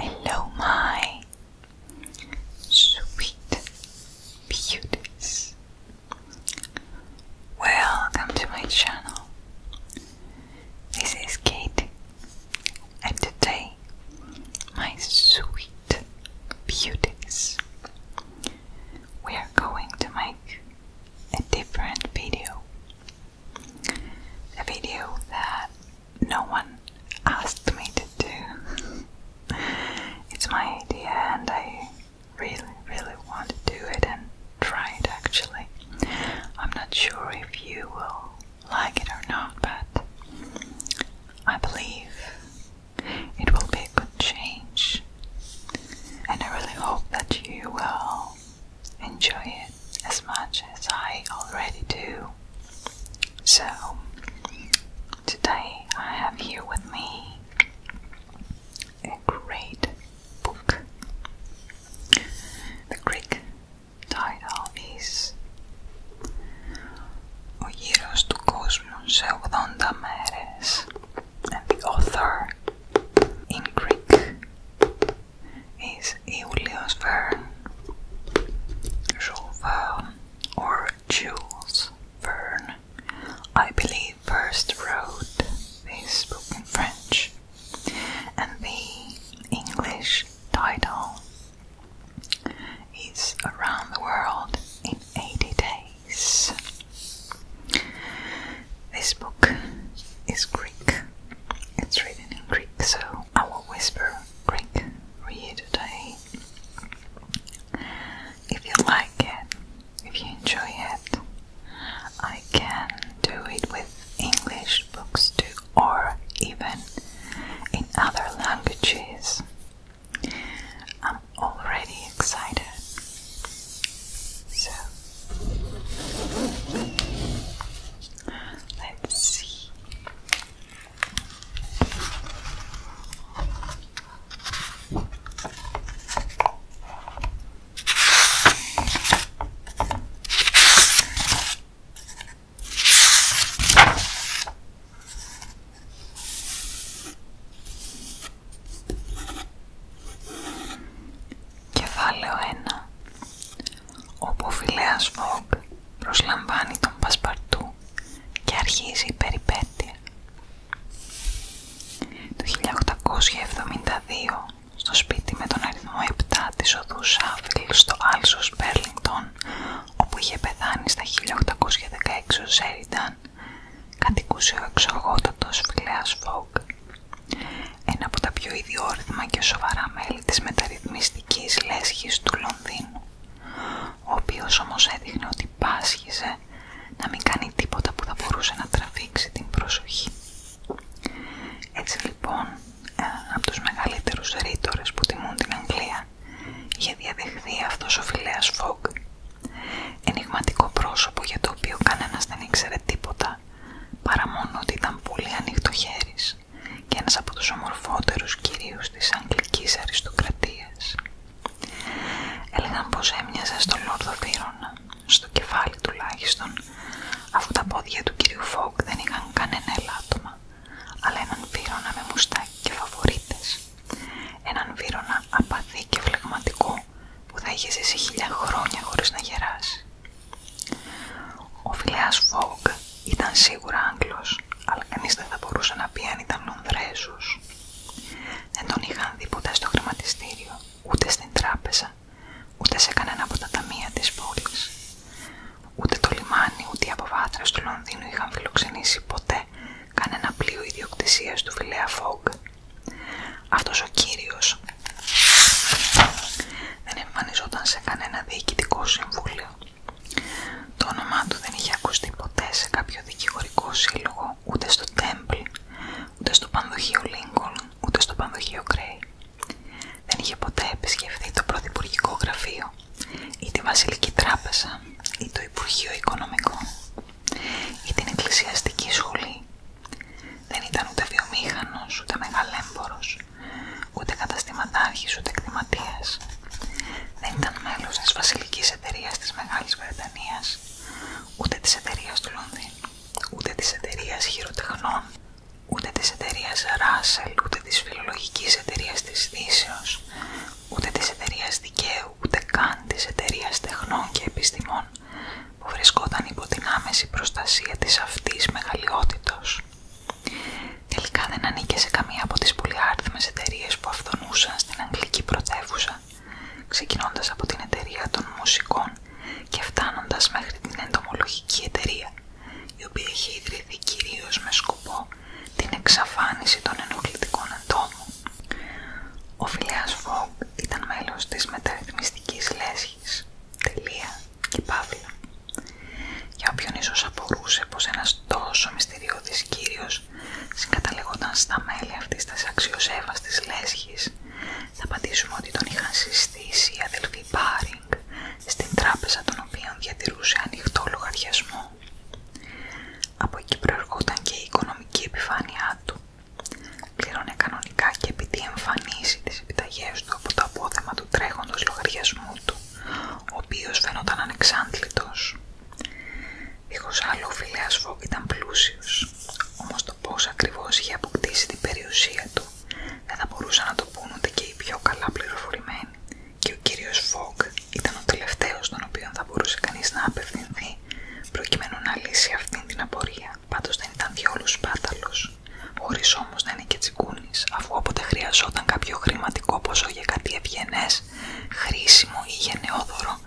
Hello, my sweet beauties. Welcome to my channel. This is Kate, and today, my sweet beauties. We are going to make a different video. A video that no one asked me to do. it's my idea and I really, really want to do it and try it actually. I'm not sure if you will like it or not, but I believe it will be a good change, and I really hope that you will enjoy it as much as I already do. So, today I have here with me a great book. The Greek title is ο γύρος του κόσμου σε 80 and the author in Greek is Julius Verne Jules Verne or Jules Verne I believe first wrote this book in French and the English title is Around the World in 80 Days this book is Greek. It's written in Greek, so I will whisper Greek for you today. If you like it, if you enjoy it, I can do it with English books too, or even in other languages. I'm already excited. So let's see. Κεφάλαιο 1 Όπου ο Φιλέας προσλαμβάνει τον Πασπαρτού και αρχίζει η περιπέτεια. Το 1872 στο σπίτι με τον αριθμό 7 της οδού Σάφιλ στο Άλσος Μπέρλινγκτον όπου είχε πεθάνει στα 1816 ο κατοικούσε ο εξοργότατος Φιλέας Φόγκ, ένα από τα πιο ιδιόρυθμα και σοβαρά μέλη της μεταρρυθμιστικής λέσχης του Λονδίνου, ο οποίος όμως έδειχνε ότι πάσχιζε να μην κάνει τίποτα που θα μπορούσε να τραβήξει την προσοχή. Έτσι λοιπόν, ε, από τους μεγαλύτερους ρήτορες που τιμούν την Αγγλία, είχε διαδεχθεί αυτός ο Φιλέας Ενιγματικό πρόσωπο για το οποίο κανένας δεν ήξερε τίποτα, παρά μόνο ότι ήταν πολύ ανοιχτοχέρης και ένας από τους ομορφότερους κυρίους της Αγγλικής Αριστοκρατίας. Έλεγαν πως έμοιαζε στον Λόρδο στο κεφάλι τουλάχιστον, αφού τα πόδια του κυρίου Φόγκ δεν είχαν κανένα ελάττωμα, αλλά έναν Βίρονα με μουστάκι και φαβορίτες έναν βύρονα απαθή και φλεγματικό που θα είχε ζήσει χίλια χρόνια χωρίς να γεράσει. Ο Φιλέας ήταν σίγουρα Άγγλος, αλλά κανείς δεν θα μπορούσε να πει αν ήταν Λονδρέζος. Δεν τον είχαν δει ποτέ στο χρηματιστήριο, ούτε στην τράπεζα, ούτε σε κανένα από τα ταμεία της πόλης. Ούτε το λιμάνι, ούτε οι αποβάθρες του Λονδίνου είχαν φιλοξενήσει ποτέ κανένα πλοίο ιδιοκτησίας του Φιλέα Φόγκ. Αυτός ο κύριος δεν εμφανιζόταν σε κανένα διοικητικό συμβούλιο. Το όνομά του δεν είχε ακουστεί ποτέ σε κάποιο δικηγορικό σύλλογο, ούτε στο Temple, ούτε στο πανδοχείο Lincoln, ούτε στο πανδοχείο Gray. Δεν είχε ποτέ επισκεφθεί το Πρωθυπουργικό Γραφείο, ή τη Βασιλική Τράπεζα, ή το Υπουργείο Οικονομικό ή την εκκλησιαστική σχολή. Δεν ήταν ούτε βιομήχανος, ούτε μεγαλέμπορος, ούτε καταστηματάρχης, ούτε εκτιματίας. Δεν ήταν μέλος της βασιλικής εταιρείας της Μεγάλης Βρετανίας, ούτε της εταιρείας του Λονδίνου, ούτε της εταιρείας χειροτεχνών, ούτε της εταιρείας Ράσελ, ούτε της φιλολογικής εταιρείας της Δύσεως, ούτε της εταιρεία δικαίου, ούτε καν της εταιρεία τεχνών και επιστημών που βρισκόταν υπό την άμεση προστασία της αυτής μεγαλειότητος. Τελικά δεν ανήκε σε καμία από τις πολυάριθμες εταιρείε που αυτονούσαν στην Αγγλική πρωτεύουσα, ξεκινώντας από την εταιρεία των μουσικών και φτάνοντας μέχρι την εντομολογική εταιρεία, η οποία είχε ιδρυθεί κυρίως με σκοπό την εξαφάνιση των ενοχλητικών εντόμων ο Φιλέας Φόγκ ήταν μέλος της μεταρρυθμιστικής λέσχης, τελεία και παύλα. Για όποιον ίσως απορούσε πως ένας τόσο μυστηριώδης κύριος συγκαταλεγόταν στα μέλη αυτής της αξιοσέβαστης λέσχης, θα απαντήσουμε ότι τον είχαν συστήσει οι αδελφοί Πάρινγκ στην τράπεζα των οποίων διατηρούσε ανοιχτό λογαριασμό από εκεί προερχόταν και η οικονομική επιφάνειά του. Πλήρωνε κανονικά και επειδή εμφανίσει τις επιταγές του από το απόθεμα του τρέχοντος λογαριασμού του, ο οποίος φαίνονταν ανεξάντλητος. Δίχως άλλο ο Φιλέας Φόκ ήταν πλούσιος, όμως το πώς ακριβώς είχε αποκτήσει την περιουσία του δεν θα μπορούσαν να το πούν και οι πιο καλά πληροφορημένοι και ο κύριος Φόγκ ήταν ο τελευταίος τον οποίο θα μπορούσε κανείς να απευθυνθεί προκειμένου να λύσει αυτήν την απορία. Πάντως δεν ήταν διόλου σπάταλος. Χωρίς όμως να είναι και αφού όποτε χρειαζόταν κάποιο χρηματικό ποσό για κάτι ευγενές, χρήσιμο ή γενναιόδωρο,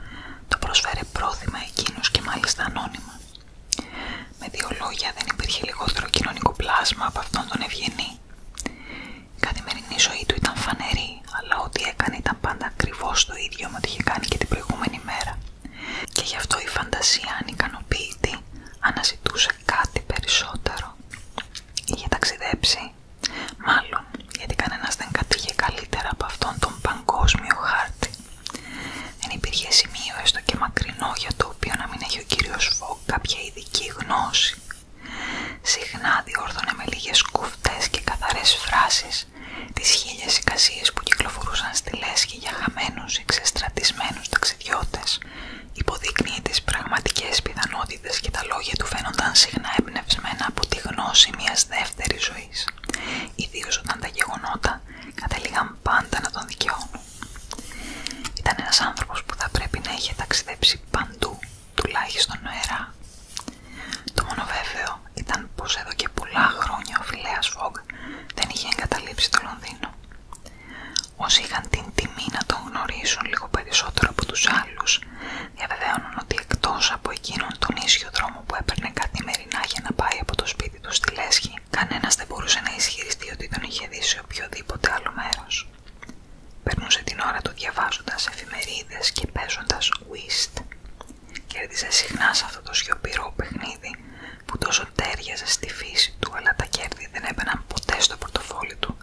το προσφέρε πρόθυμα εκείνους και μάλιστα ανώνυμα. Με δύο λόγια δεν υπήρχε λιγότερο κοινωνικό πλάσμα από αυτόν τον ευγενή. Η καθημερινή ζωή του ήταν φανερή, αλλά ό,τι έκανε ήταν πάντα ακριβώ το ίδιο με ό,τι είχε κάνει και την προηγούμενη μέρα. Και γι' αυτό η φαντασία, αν αναζητούσε κάτι περισσότερο. Είχε ταξιδέψει, μάλλον γιατί κανένα δεν κατήγε καλύτερα από αυτόν τον παγκόσμιο χάρτη. Δεν υπήρχε σημείο έστω και μακρινό για το οποίο να μην έχει ο κύριο Φόγκ κάποια ειδική γνώση. Συχνά διόρθωνε με λίγες κουφτές και καθαρές φράσεις τις χίλιες εικασίες που κυκλοφορούσαν στη λέσχη για χαμένους εξεστρατισμένους ταξιδιώτες, υποδείκνυε τις πραγματικές πιθανότητες και τα λόγια του φαίνονταν συχνά εμπνευσμένα από τη γνώση μιας δεύτερης ζωής, ιδίως όταν τα γεγονότα κατέληγαν πάντα να τον δικαιώνουν. Ήταν ένας άνθρωπος που θα πρέπει να είχε ταξιδέψει παντού τουλάχιστον νοερά. Το μόνο βέβαιο ήταν πως εδώ και πολλά χρόνια ο Φιλέας Φόγκ δεν είχε εγκαταλείψει το Λονδίνο. Όσοι είχαν την τιμή να τον γνωρίσουν λίγο περισσότερο από τους άλλους, διαβεβαίωναν ότι εκτός από εκείνον τον ίσιο δρόμο που έπαιρνε καθημερινά για να πάει από το σπίτι του στη Λέσχη, Κανένα δεν μπορούσε να ισχυριστεί ότι τον είχε δει σε οποιοδήποτε άλλο μέρος. Περνούσε την ώρα του διαβάζοντας εφημερίδες και παίζοντας Κέρδιζε συχνά σε αυτό το σιωπηρό παιχνίδι που τόσο τέριαζε στη φύση του, αλλά τα κέρδη δεν έμπαιναν ποτέ στο πορτοφόλι του.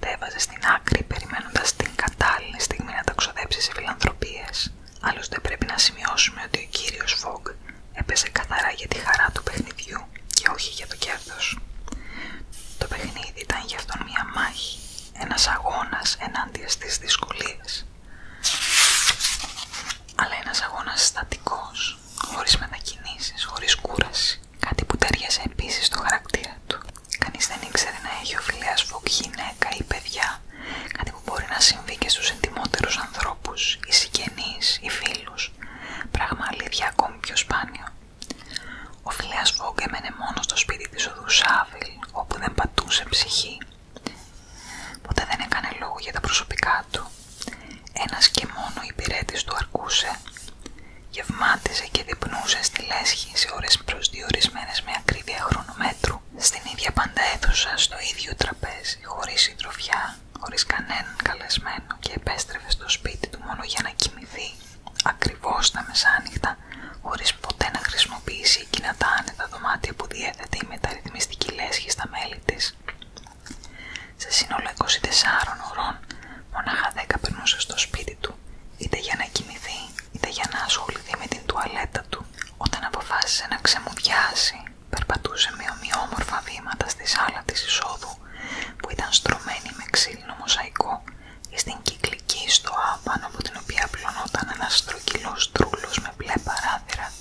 Τα έβαζε στην άκρη, περιμένοντας την κατάλληλη στιγμή να τα ξοδέψει σε φιλανθρωπίε. Άλλωστε, πρέπει να σημειώσουμε ότι ο κύριος Φογκ έπαιζε καθαρά για τη χαρά του παιχνιδιού και όχι για το κέρδο. Το παιχνίδι ήταν γι' αυτόν μια μάχη, ένας αγώνας ενάντια στις δυσκολίες αλλά ένας αγώνας στατικός, χωρίς μετακινήσεις, χωρίς κούραση κάτι που ταιριάζει επίσης στο χαρακτήρα του κανείς δεν ήξερε να έχει ο Φιλέας Φοκ γυναίκα ή παιδιά κάτι που μπορεί να συμβεί και στους εντιμότερους ανθρώπους οι συγγενείς, οι φίλους πράγμα αλήθεια ακόμη πιο σπάνιο ο Φιλέας φοκ έμενε μόνο στο σπίτι της όπου δεν πατούσε ψυχή. Ποτέ δεν έκανε λόγο για τα προσωπικά του. Ένας και μόνο υπηρέτης του αρκούσε. Γευμάτιζε και διπνούσε στη λέσχη σε ώρες προσδιορισμένες με ακρίβεια χρονομέτρου. Στην ίδια πάντα στο ίδιο τραπέζι, χωρίς συντροφιά, χωρίς κανέναν καλεσμένο και επέστρεφε στο σπίτι του μόνο για να κοιμηθεί. Ακριβώς τα μεσάνυχτα χωρίς ποτέ να χρησιμοποιήσει εκείνα τα άνετα δωμάτια που διέθετε η μεταρρυθμιστική λέσχη στα μέλη της. Σε σύνολο 24 ώρων, μονάχα 10 περνούσε στο σπίτι του, είτε για να κοιμηθεί, είτε για να ασχοληθεί με την τουαλέτα του. Όταν αποφάσισε να ξεμουδιάσει, περπατούσε με ομοιόμορφα βήματα στη σάλα της εισόδου, που ήταν στρωμένη με ξύλινο μοσαϊκό στην κυκλική στοά πάνω από την οποία πλωνόταν ένα στρογγυλό τρούλο με μπλε παράθυρα,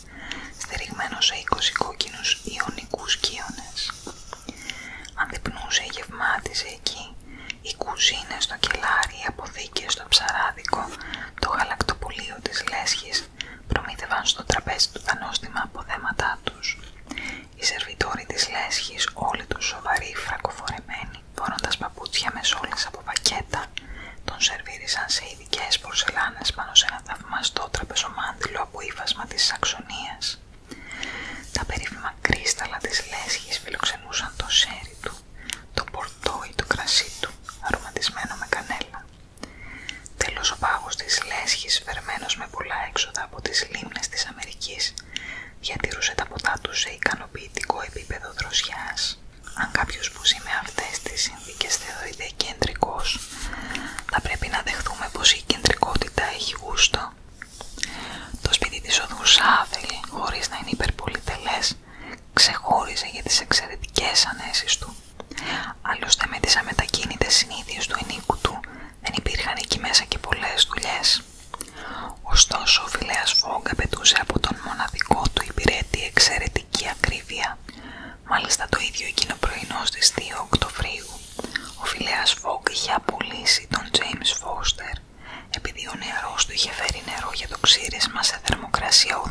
στηριγμένο σε 20 κόκκινους ιονικούς κύονες. Αντιπνούσε η γευμάτιζε εκεί, οι κουζίνες στο κελάρι, οι αποθήκες ψαράδικο, το γαλακτοπολείο της λέσχης προμήθευαν στο τραπέζι του τα νόστιμα αποδέματά τους. Οι σερβιτόροι της λέσχης, όλοι τους σοβαροί, φρακοφορεμένοι, φορώντας παπούτσια με σόλες από πακέτα, τον σερβίρισαν σε ειδικέ πορσελάνες πάνω σε ένα θαυμαστό τραπεζομάντιλο από ύφασμα της Σαξονίας. Τα περίφημα κρίσταλα της λέσχης φιλοξενούσαν το σέρι του, το πορτό ή το κρασί του, αρωματισμένο με κανέλα. Τέλος ο πάγος της λέσχης, φερμένος με πολλά έξοδα από τις λίμνες της Αμερικής, διατηρούσε τα ποτά του σε ικανοποιητικό επίπεδο δροσιάς. Αν κάποιος που ζει με αυτές τις συνθήκες θεωρείται κεντρικός, θα πρέπει να δεχθούμε πως η κεντρικότητα έχει γούστο. Το σπίτι της οδού Σάβελη, χωρίς να είναι υπερπολιτελές, ξεχώριζε για τις εξαιρετικές ανέσει του. Άλλωστε με τις αμετακίνητες του ενίκου του δεν υπήρχαν εκεί μέσα και πολλές δουλειές. Ωστόσο ο Φιλέας Φόγκ απαιτούσε από τον μοναδικό του υπηρέτη εξαιρετική ακρίβεια. Μάλιστα το ίδιο εκείνο πρωινό στις 2 Οκτωβρίου. Ο Φιλέας Φόγκ είχε απολύσει τον Τζέιμς Foster επειδή ο νεαρός του είχε φέρει νερό για το ξύρισμα σε θερμοκρασία 84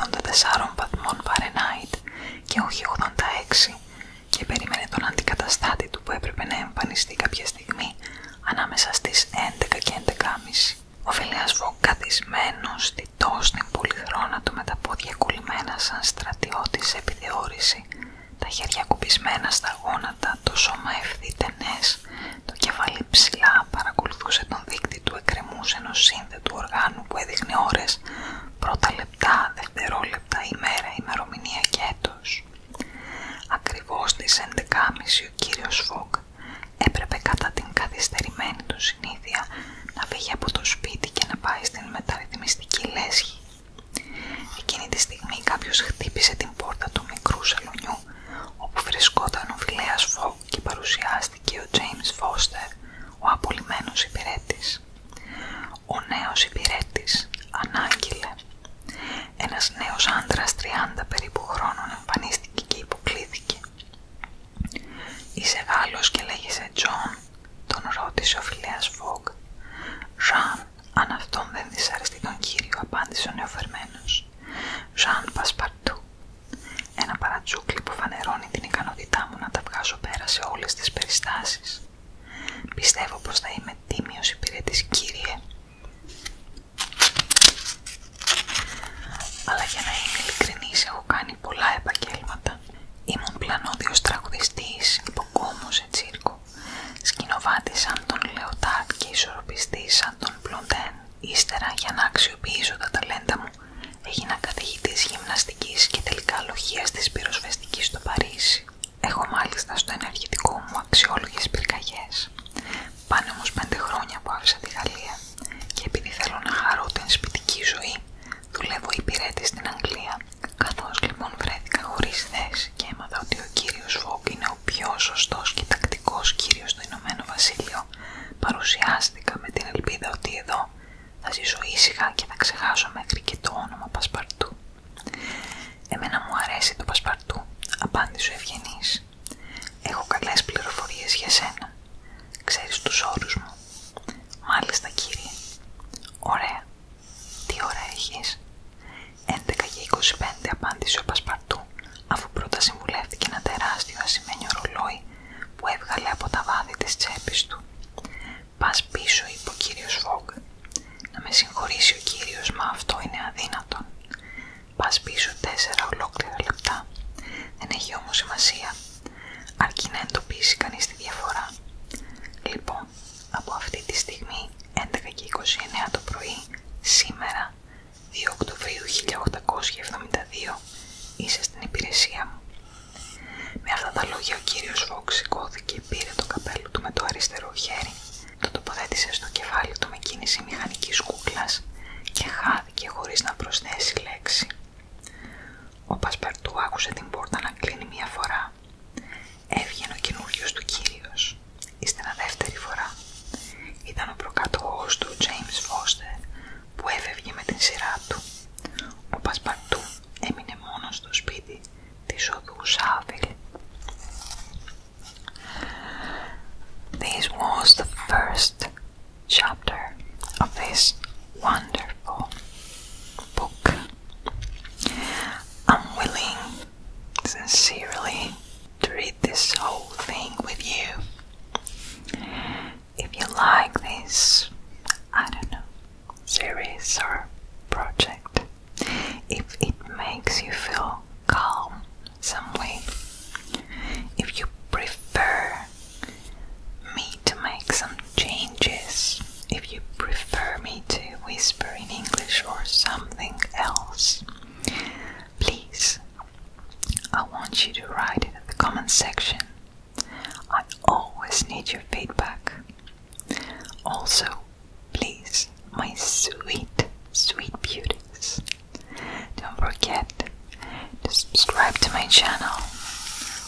βαθμών Φαρενάιτ και όχι 86 και περίμενε τον αντικαταστάτη του που έπρεπε να εμφανιστεί κάποια στιγμή ανάμεσα στις 11 και 11.30. Ο Φιλίας καθισμένο διτός στην πολυθρόνα του με τα πόδια κουλημένα σαν στρατιώτης σε τα χέρια κουμπισμένα στα γόνατα, το σώμα ευθύτενες, το κεφάλι ψηλά παρακολουθούσε τον δείκτη του εκκρεμούς ενός του οργάνου που έδειχνε ώρες, πρώτα λεπτά, δευτερόλεπτα, ημέρα, ημερομηνία και έτος. Ακριβώς στις 11.30 ο κύριος έπρεπε κατά την καθυστερημένη του συνήθεια να φύγει από το σπίτι και να πάει στην μεταρρυθμιστική λέσχη. Εκείνη τη στιγμή κάποιος χτύπησε την πόρτα του μικρού σελωνιού όπου βρισκόταν ο Φιλέας Φόγκ και παρουσιάστηκε ο Τζέιμς Φώστερ, ο απολυμμένος υπηρέτης. Ο νέος υπηρέτης ανάγκηλε. Ένας νέος άντρα 30 περίπου χρόνων εμφανίστηκε και υποκλήθηκε. «Είσαι Γάλλος και λέγεσαι Τζον» τον ρώτησε ο Φιλέας Βογκ. «Ζαν, αν αυτόν δεν δυσαρεστεί τον κύριο» απάντησε ο νεοφερμένος. «Ζαν Πασπαρτού». Ένα παρατσούκλι που φανερώνει την ικανότητά μου να τα βγάσω πέρα σε όλες τις περιστάσεις. «Πιστεύω πως θα είμαι τίμιος υπηρέτης κύριε» Αλλά για να είμαι ειλικρινής έχω κάνει πολλά επαγγέλματα. Ήμουν πλανόδιος τραγουδιστής, υποκόμος σε τσίρκο, σκηνοβάτης σαν τον Λεωτάρτ και ισορροπιστής σαν τον Πλοντέν. Ύστερα, για να αξιοποιήσω τα ταλέντα μου, έγινα καθηγητής γυμναστικής και τελικά της πυροσβεστικής στο Παρίσι. Έχω μάλιστα στο ενεργητικό μου αξιόλογες πυρκαγιές. Πάνε όμως πέντε χρόνια που άφησα τη Γαλλία και επειδή θέλω να χαρώ την σπιτική ζωή, δουλεύω υπηρέτη στην Αγγλία. Καθώς λοιπόν βρέθηκα χωρίς θέση και έμαθα ότι ο κύριος Φόγκ είναι ο πιο σωστός και τακτικός κύριος στο Ηνωμένο Βασίλειο, παρουσιάστηκα με την ελπίδα ότι εδώ θα ζήσω ήσυχα και θα ξεχάσω μέχρι και το όνομα Πασπαρτού. Εμένα μου αρέσει το Πασπαρτού, απάντησε ο Ευγενής. Έχω καλές πληροφορίες για σένα. Ξέρεις τους όρους μου. Μάλιστα κύριε. Ωραία. Τι ώρα έχεις. 11 και 25 απάντησε ο Πασπαρτού αφού πρώτα συμβουλεύτηκε ένα τεράστιο ασημένιο ρολόι που έβγαλε από τα βάθη της τσέπης του. «Πας πίσω» είπε ο κύριος Φόγκ. «Να με συγχωρήσει ο κύριος, μα αυτό είναι αδύνατον. Πας πίσω 4 ολόκληρα λεπτά. Δεν έχει όμως σημασία, αρκεί να εντοπίσει κανείς τη διαφορά. Λοιπόν, από αυτή τη στιγμή, 11 και 29 το πρωί, σήμερα, 2 Οκτωβρίου 1872, είσαι στην υπηρεσία μου. Με αυτά τα λόγια ο κύριος Φόξ σηκώθηκε και πήρε το καπέλο του με το αριστερό χέρι το τοποθέτησε στο κεφάλι του με κίνηση μηχανικής κούκλας και χάθηκε χωρίς να προσθέσει λέξη. Ο Πασπαρτού άκουσε την πόρτα να κλείνει μία φορά. Έβγαινε ο καινούριο του κύριος. Ύστερα δεύτερη φορά. Ήταν ο προκατοχός του, James Foster, που έφευγε με την σειρά του. Ο Πασπαρτού έμεινε μόνος στο σπίτι της οδού Σάβελ. This was the first chapter of this wonderful book. I'm willing, sincerely, to read this whole thing with you. If you like this, I don't know, series or project, if it makes you feel calm some way. If you prefer me to make some changes, if you prefer me to whisper in English or something else, please, I want you to write it in the comment section. I always need your feedback. Also, please, my sweet, sweet beauties, don't forget to subscribe to my channel,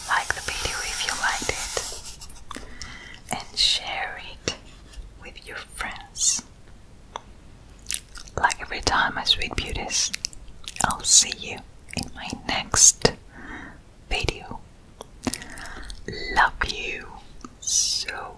like the video if you liked it, and share it with your friends. Like every time, my sweet beauties, I'll see you in my next video. Love you so